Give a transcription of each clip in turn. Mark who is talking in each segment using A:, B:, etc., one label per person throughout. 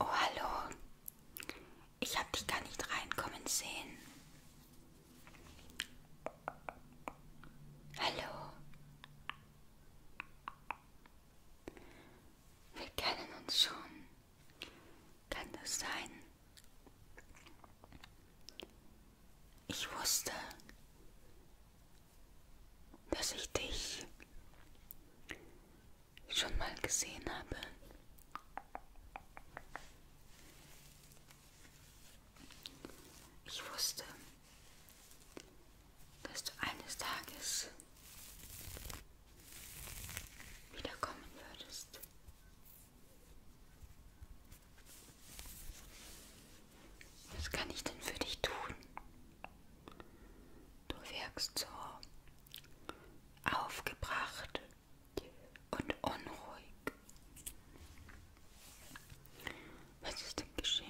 A: Oh hallo, ich habe dich gar nicht reinkommen sehen. Hallo. Wir kennen uns schon. Kann das sein? Ich wusste, dass ich dich schon mal gesehen habe. Ich wusste, dass du eines Tages wiederkommen würdest. Was kann ich denn für dich tun? Du wirkst so aufgebracht und unruhig. Was ist denn geschehen?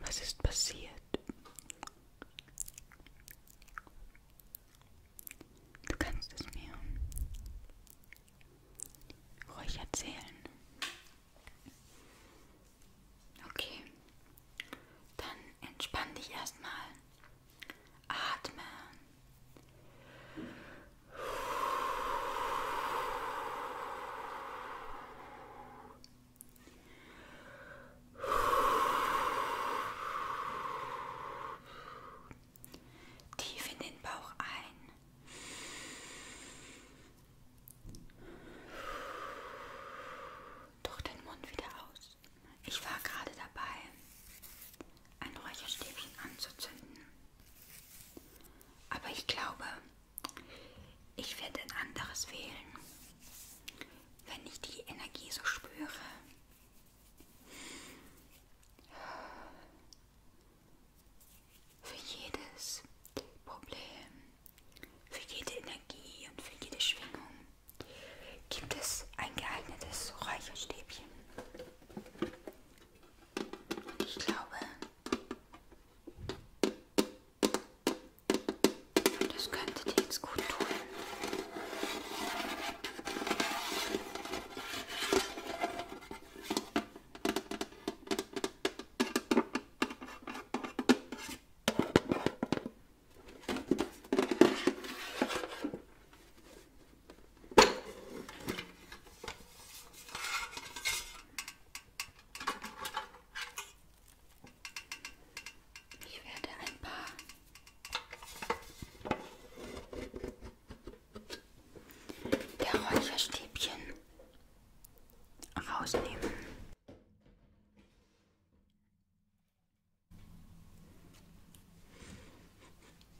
A: Was ist passiert? Du kannst es mir ruhig erzählen. Okay, dann entspann dich erstmal. Atme. Tief in den Bauch ein. Durch den Mund wieder aus. Ich war gerade dabei, ein Räucherstäbchen anzuzünden. Aber ich glaube, ich werde ein anderes wählen, wenn ich die Energie so spüre. Für jedes Problem, für jede Energie und für jede Schwingung gibt es ein geeignetes Räucherstäbchen. Ich glaube, das könnte dir jetzt gut tun. Ich werde ein paar der Räucherstäbchen rausnehmen.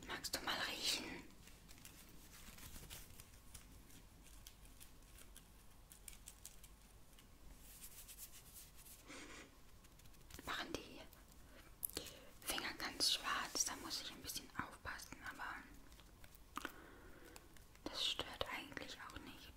A: Magst du mal riechen? Machen die Finger ganz schwarz, da muss ich ein bisschen aufpassen, aber das stört eigentlich auch nicht.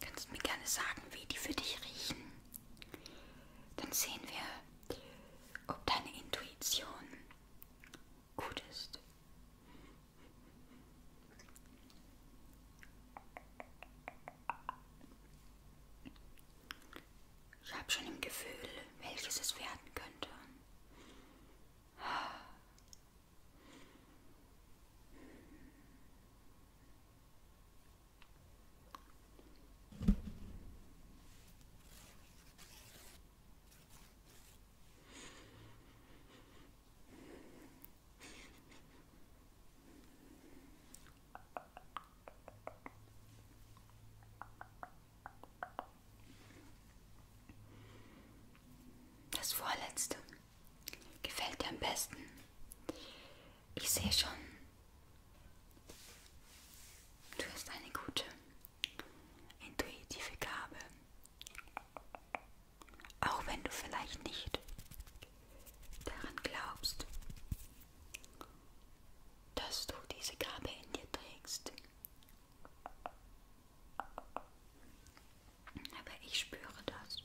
A: Kannst du mir gerne sagen, wie die für dich riechen? Dann sehen wir, ob deine Intuition gut ist. Ich habe schon im Gefühl, welches es werden könnte. Das vorletzte gefällt dir am besten. Ich sehe schon, du hast eine gute, intuitive Gabe. Auch wenn du vielleicht nicht daran glaubst, dass du diese Gabe in dir trägst. Aber ich spüre das.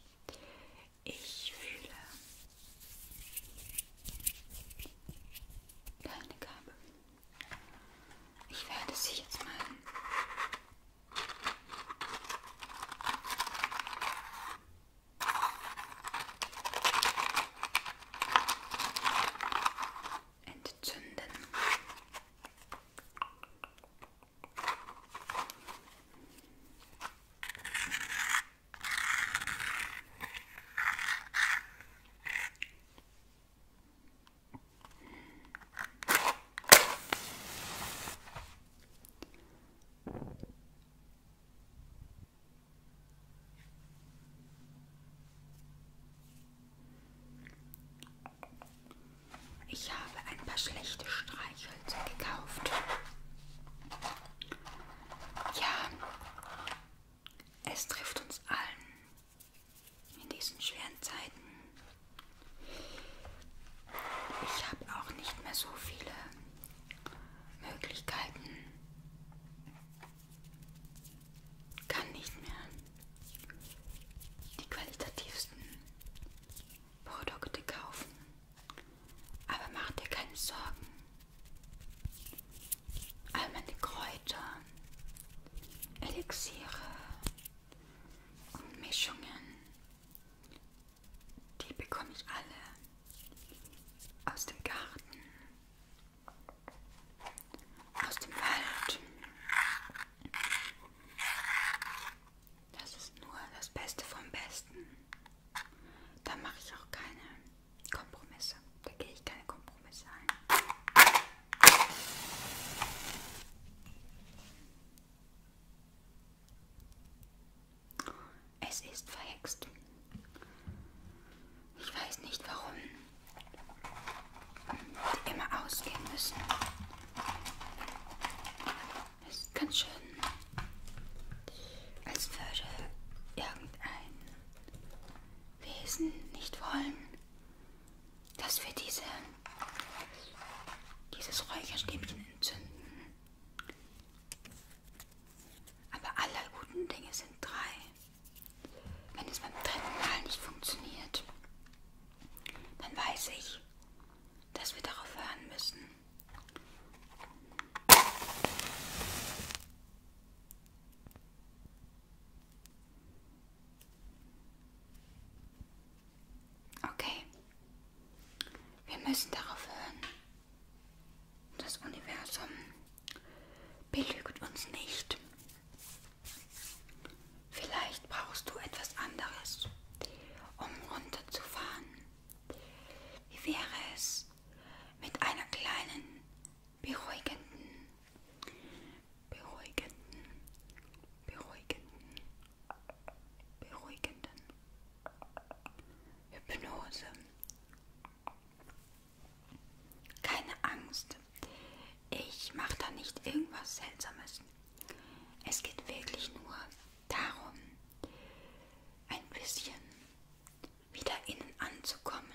A: Ich fühle deine Gabe. Ich werde sie jetzt mal Entzünden. Ich habe ein paar schlechte Streichhölzer gekauft. Ja, es trifft uns allen in diesen schweren Zeiten. Ich habe auch nicht mehr so viele Möglichkeiten kann nicht mehr die qualitativsten Produkte kaufen. Aber mach dir keine Sorgen. All meine Kräuter, Elixiere und Mischungen die bekomme ich alle aus dem Garten, aus dem Wald. Das ist nur das Beste vom Besten. Da mache ich auch keine Kompromisse. Da gehe ich keine Kompromisse ein. Es ist verhext. Ich weiß nicht warum die immer ausgehen müssen. Es ist ganz schön, als würde irgendein Wesen nicht wollen, dass wir diese, dieses Räucherstäbchen entzünden. Aber aller guten Dinge sind drei. Wenn es beim dritten Mal nicht funktioniert, dann weiß ich, dass wir darauf hören müssen. Okay, wir müssen darauf hören. Das Universum belügt uns nicht. Vielleicht brauchst du etwas anderes, um runterzufahren. Wie wäre es mit einer kleinen, beruhigenden, beruhigenden, beruhigenden, beruhigenden Hypnose? Keine Angst, ich mache da nicht irgendwas Seltsames. Es geht wirklich nur darum, ein bisschen wieder innen anzukommen,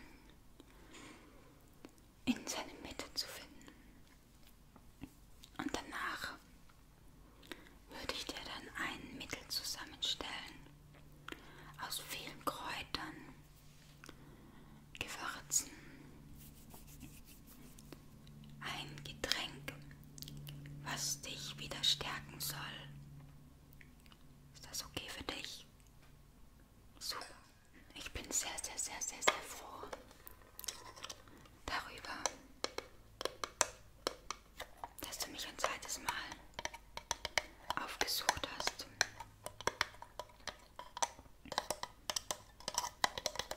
A: in seine Mitte zu finden. Und danach würde ich dir dann ein Mittel zusammenstellen, aus vielen Kräutern, Gewürzen. Ein Getränk, was dich wieder stärken soll. Ist das okay für dich? Super. Ich bin sehr, sehr, sehr, sehr, sehr froh darüber dass du mich ein zweites Mal aufgesucht hast.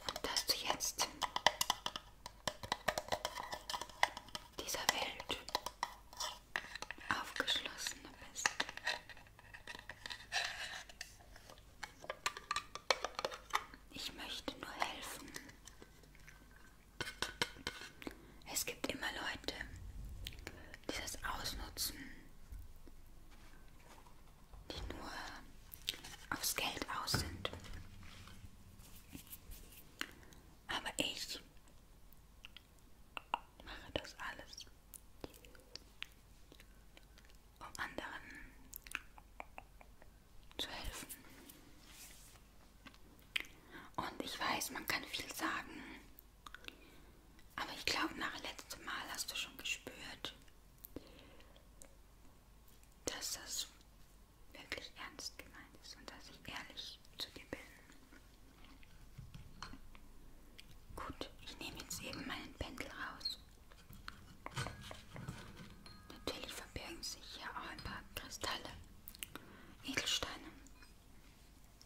A: Und dass du jetzt dieser Welt aufgeschlossener bist. Ich möchte nur helfen. Es gibt immer Leute, die das ausnutzen, die nur aufs Geld aus sind. Aber ich mache das alles, um anderen zu helfen. Und ich weiß, man kann viel sagen. Aber ich glaube, nach letztem Mal hast du schon gespürt, dass das wirklich ernst gemeint ist und dass ich ehrlich zu dir bin. Gut, ich nehme jetzt eben meinen Pendel raus. Natürlich verbergen sich hier auch ein paar Kristalle, Edelsteine.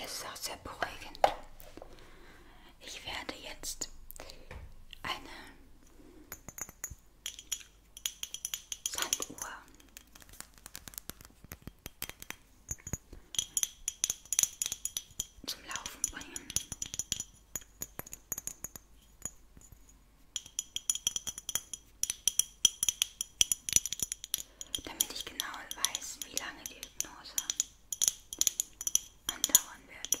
A: Das ist auch sehr beruhigend. Ich werde jetzt eine Sanduhr zum Laufen bringen. Damit ich genau weiß, wie lange die Hypnose andauern wird.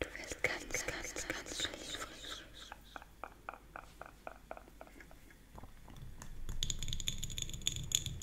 A: Du wirst ganz, ganz, ganz schön frisch.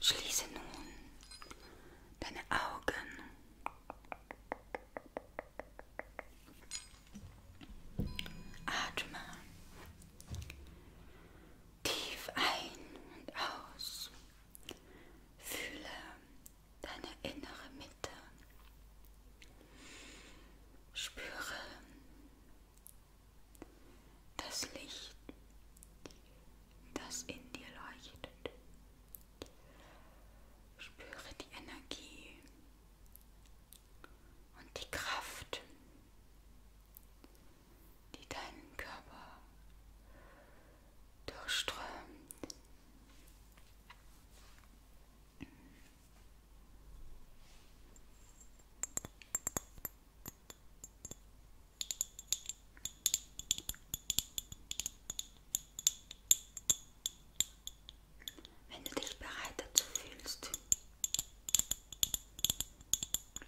A: Schließe nun deine Augen. Atme tief ein und aus. Fühle deine innere Mitte. Spüre das Licht, das in dir leuchtet. Spüre die Energie und die Kraft, die deinen Körper durchströmt. Wenn du dich bereit dazu fühlst,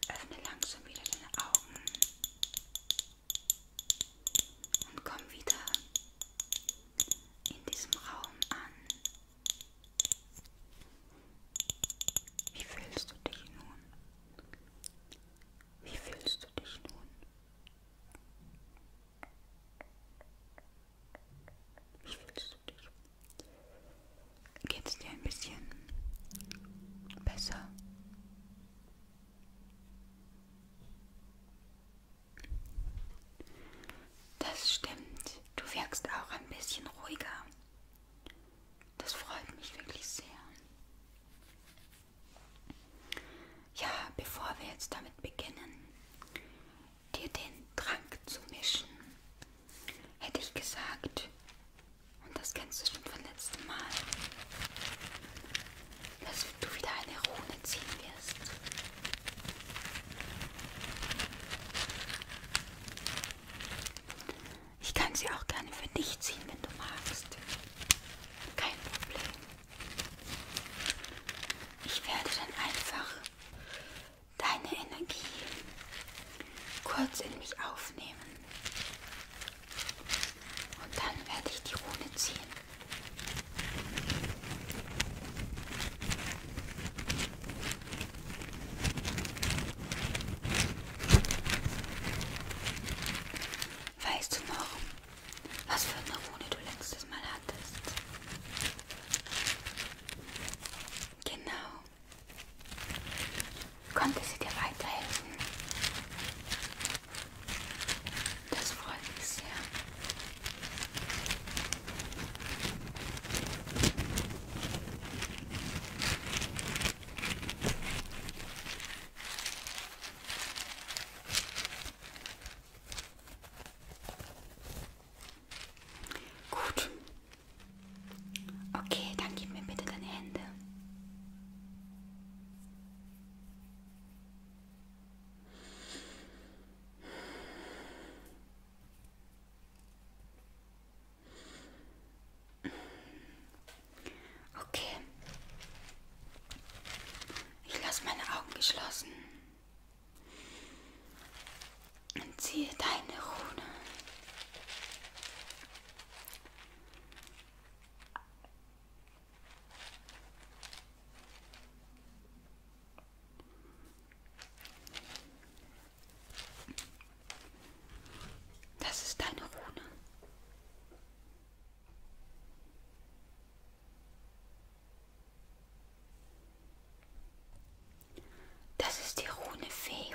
A: öffne langsam wieder deine Augen und komm wieder in diesem Raum an. Wie fühlst du dich nun? Wie fühlst du dich nun? Wie fühlst du dich? Geht es dir ein bisschen besser? Das stimmt. Du wirkst auch ein bisschen ruhiger. Das freut mich wirklich sehr. Ja, bevor wir jetzt damit beginnen, dir den Trank zu mischen, hätte ich gesagt, und das kennst du schon vom letzten Mal, dass du wieder eine Rune ziehen wirst. Ich kann sie auch gerne für dich ziehen, wenn du magst. Kein Problem. Ich werde dann einfach deine Energie kurz in mich aufnehmen. Und dann werde ich die Rune ziehen. Weißt du noch, was für eine Rune du letztes Mal hattest? Genau. Konnte sie dir weiterhelfen? Das freut mich sehr. Gut. Okay, dann gib mir bitte deine Hände. Okay. Ich lasse meine Augen geschlossen und ziehe deine Rune. Das ist deine Rune. Das ist die Rune Fehu.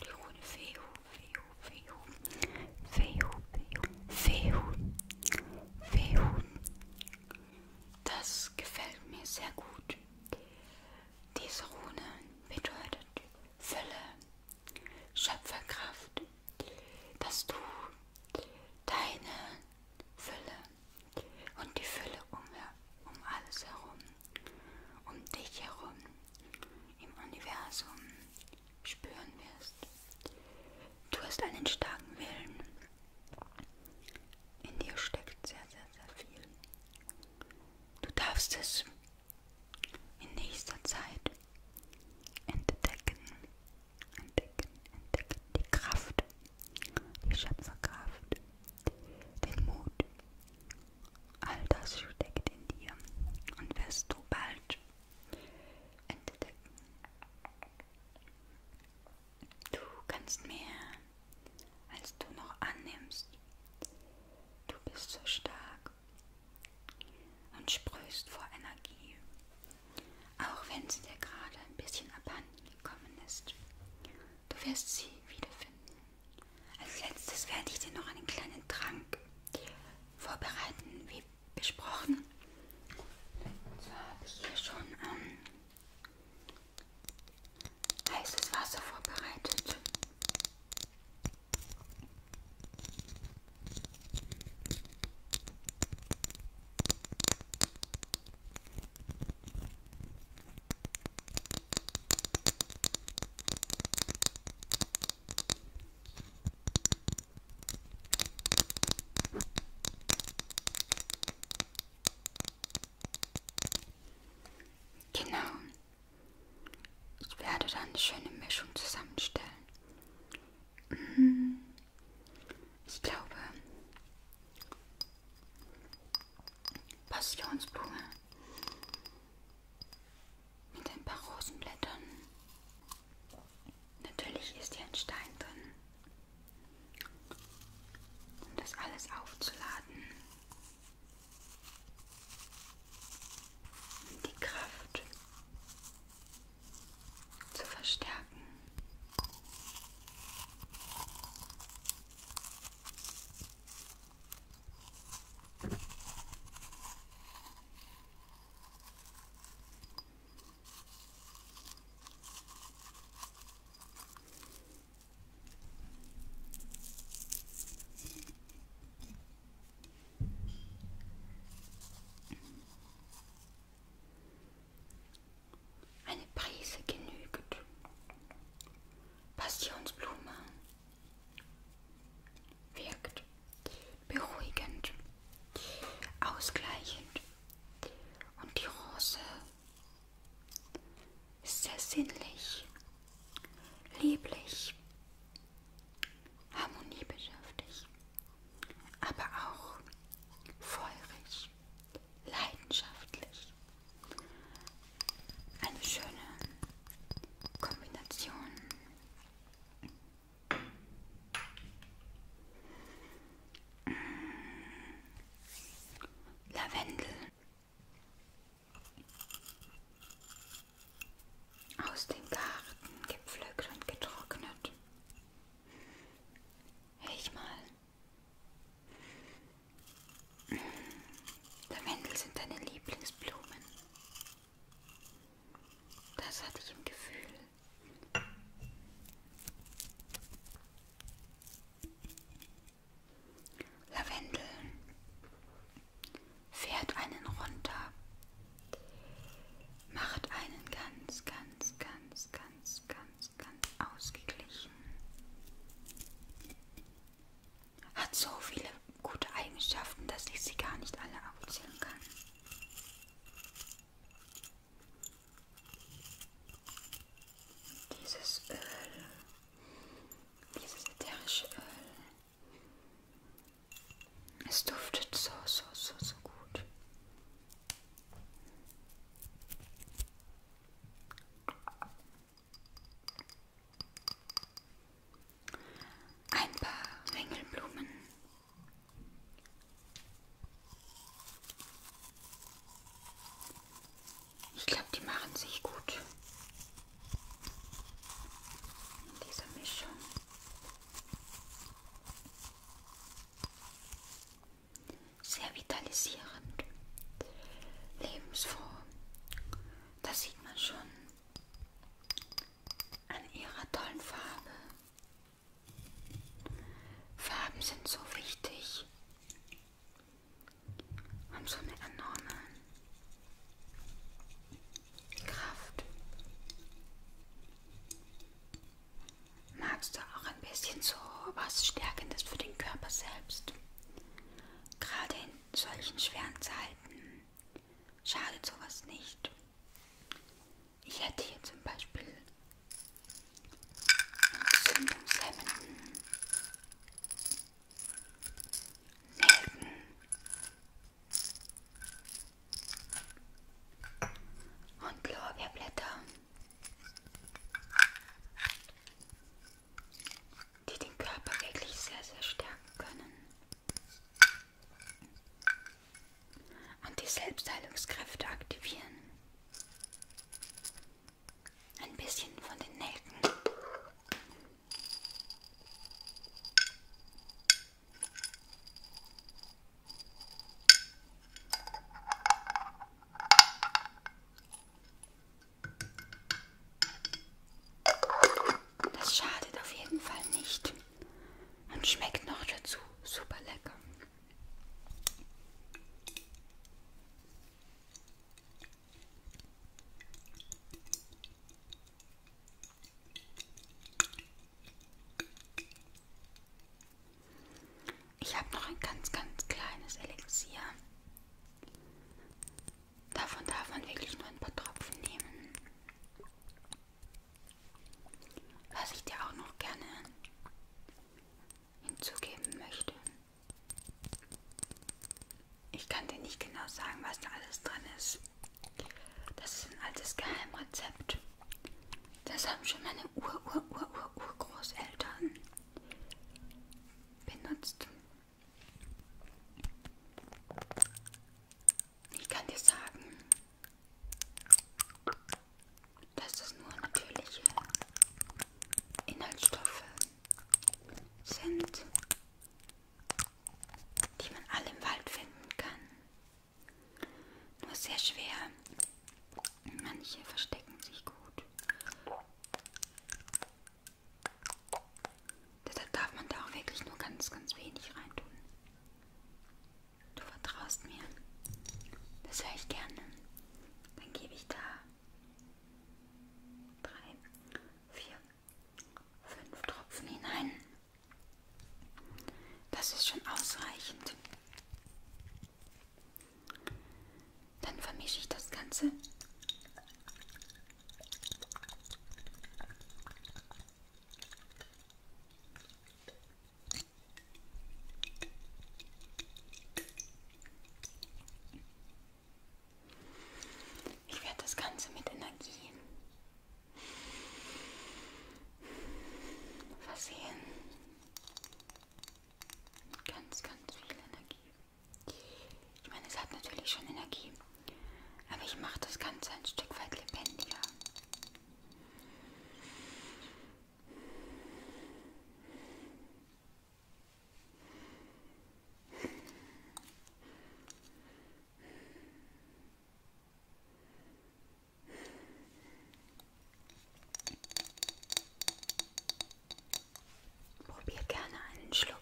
A: Die Rune Fehu, Fehu, Fehu. Fehu, Fehu, Fehu. Fehu, das gefällt mir sehr gut. Diese Rune bedeutet Fülle, Schöpferkraft, dass du deine Fülle und die Fülle um, um alles herum, um dich herum, im Universum spüren wirst. Du hast einen starken Willen. In dir steckt sehr, sehr, sehr viel. Du darfst es in nächster Zeit entdecken, entdecken, entdecken. Die Kraft, die Schöpferkraft, den Mut. All das steckt in dir und wirst du bald entdecken. Du kannst mehr, als du noch annimmst. Du bist so stark und sprühst vor Energie, auch wenn sie dir gerade ein bisschen abhanden gekommen ist. Du wirst sie wiederfinden. Als letztes werde ich dir noch einen kleinen Trank vorbereiten, wie besprochen. So habe ich hier schon ähm, heißes Wasser vorbereitet. Genau. Ich werde dann eine schöne Mischung zusammenstellen. Mhm. Ich glaube, Passionsblume mit ein paar Rosenblättern. Natürlich ist hier ein Stein drin um das alles aufzuladen. Und die Kraft zu verstärken. Eine Prise genügt. Passionsblume wirkt beruhigend, ausgleichend und die Rose ist sehr sinnlich, lieblich, harmoniebedürftig, aber auch feurig, leidenschaftlich. Eine schöne Kombination. Lavendel. Aus dem Garten gepflückt und getrocknet. Riech mal. Lavendel sind deine Lieblingsblumen. Das hatte ich im Gefühl. Lavendel fährt einen runter, macht einen ganz, ganz, ganz, ganz, ganz, ganz ausgeglichen. Hat so viele gute Eigenschaften, dass ich sie gar nicht alle aufzählen kann. Dieses Öl, dieses ätherische Öl. Es duftet so, so, so, so gut. Ein paar Ringelblumen ich glaube, die machen sich gut in dieser Mischung. Sehr vitalisierend, lebensfroh. Das sieht man schon an ihrer tollen Farbe. Farben sind so wichtig. Haben so eine enorme Kraft. Magst du auch ein bisschen so was Stärkendes für den Körper selbst? Gerade in solchen schweren Zeiten schadet sowas nicht. Ich hätte hier zum Beispiel entzündungshemmenden Nelken, und Lorbeerblätter, die den Körper wirklich sehr, sehr stärken können und die Selbstheilungskräfte aktivieren. Ein bisschen von den Nelken. Das schadet auf jeden Fall nicht und schmeckt noch dazu super lecker. Ich habe noch ein ganz, ganz kleines Elixier. Davon darf man wirklich nur ein paar Tropfen nehmen. Was ich dir auch noch gerne hinzugeben möchte. Ich kann dir nicht genau sagen, was da alles drin ist. Das ist ein altes Geheimrezept. Das haben schon meine Ur-Ur-Ur-Ur-Urgroßeltern benutzt. Ich kann dir sagen, dass es nur natürliche Inhaltsstoffe sind, die man alle im Wald finden kann. Nur sehr schwer. Manche verstecken sich gut. Deshalb darf man da auch wirklich nur ganz, ganz wenig reintun. Du vertraust mir. Das höre ich gerne. Dann gebe ich da 3, 4, 5 Tropfen hinein. Das ist schon ausreichend. Dann vermische ich das Ganze. Ich werde das Ganze mit Energie versehen. Ganz, ganz viel Energie. Ich meine, es hat natürlich schon Energie, aber ich mache das Ganze ein Stück weit lebendiger. Probier gerne einen Schluck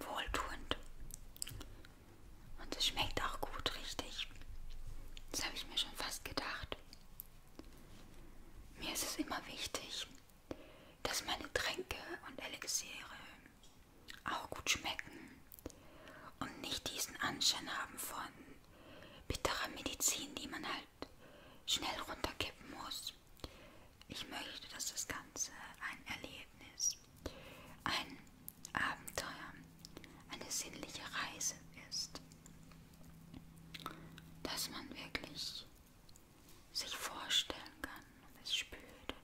A: wohltuend. Und es schmeckt auch gut, richtig. Das habe ich mir schon fast gedacht. Mir ist es immer wichtig, dass meine Tränke und Elixiere auch gut schmecken und nicht diesen Anschein haben von bitterer Medizin, die man halt halt schnell runterkippen muss. Ich möchte, dass das Ganze ein Erlebnis, ein Abenteuer, eine sinnliche Reise ist. Dass man wirklich sich vorstellen kann und es spürt,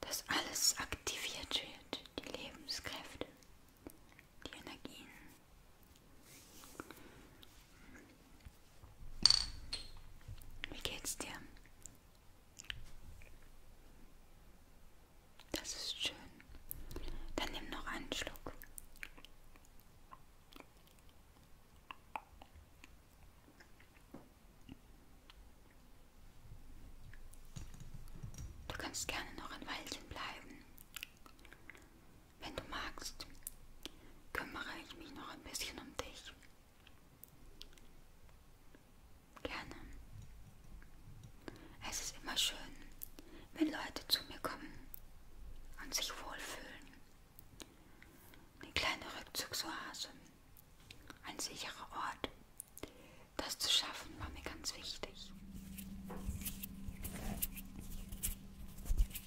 A: dass alles aktiviert wird, die Lebenskräfte, die Energien, wie geht's dir? Das ist schön. Dann nimm noch einen Schluck. Du kannst gerne noch ein Weilchen bleiben. Wenn du magst, kümmere ich mich noch ein bisschen um dich. Gerne. Es ist immer schön, wenn Leute zu mir kommen und sich wohlfühlen. Eine kleine Rückzugsoase, ein sicherer Ort. Das zu schaffen war mir ganz wichtig.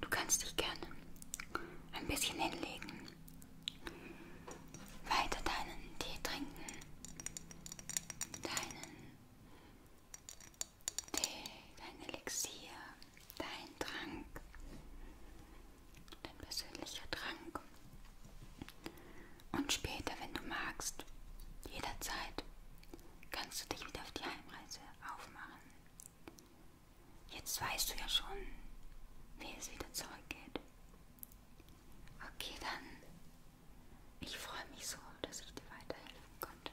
A: Du kannst dich gerne ein bisschen hinlegen, weiter deinen Tee trinken, deinen dein Elixier, dein Trank, dein persönlicher Trank. Und später, wenn du magst, jederzeit, kannst du dich wieder auf die Heimreise aufmachen. Jetzt weißt du ja schon, wie es wieder zurückgeht. Okay, dann. Ich freue mich so, dass ich dir weiterhelfen konnte.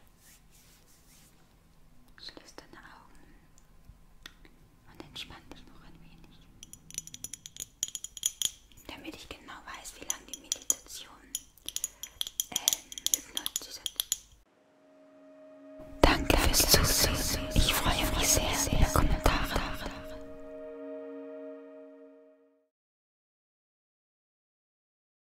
A: Schließ deine Augen und entspann dich noch ein wenig, damit ich genau weiß, wie lange die Meditation ähm, hypnotisiert. Danke fürs Zusehen. Ich freue mich sehr, sehr über Kommentare.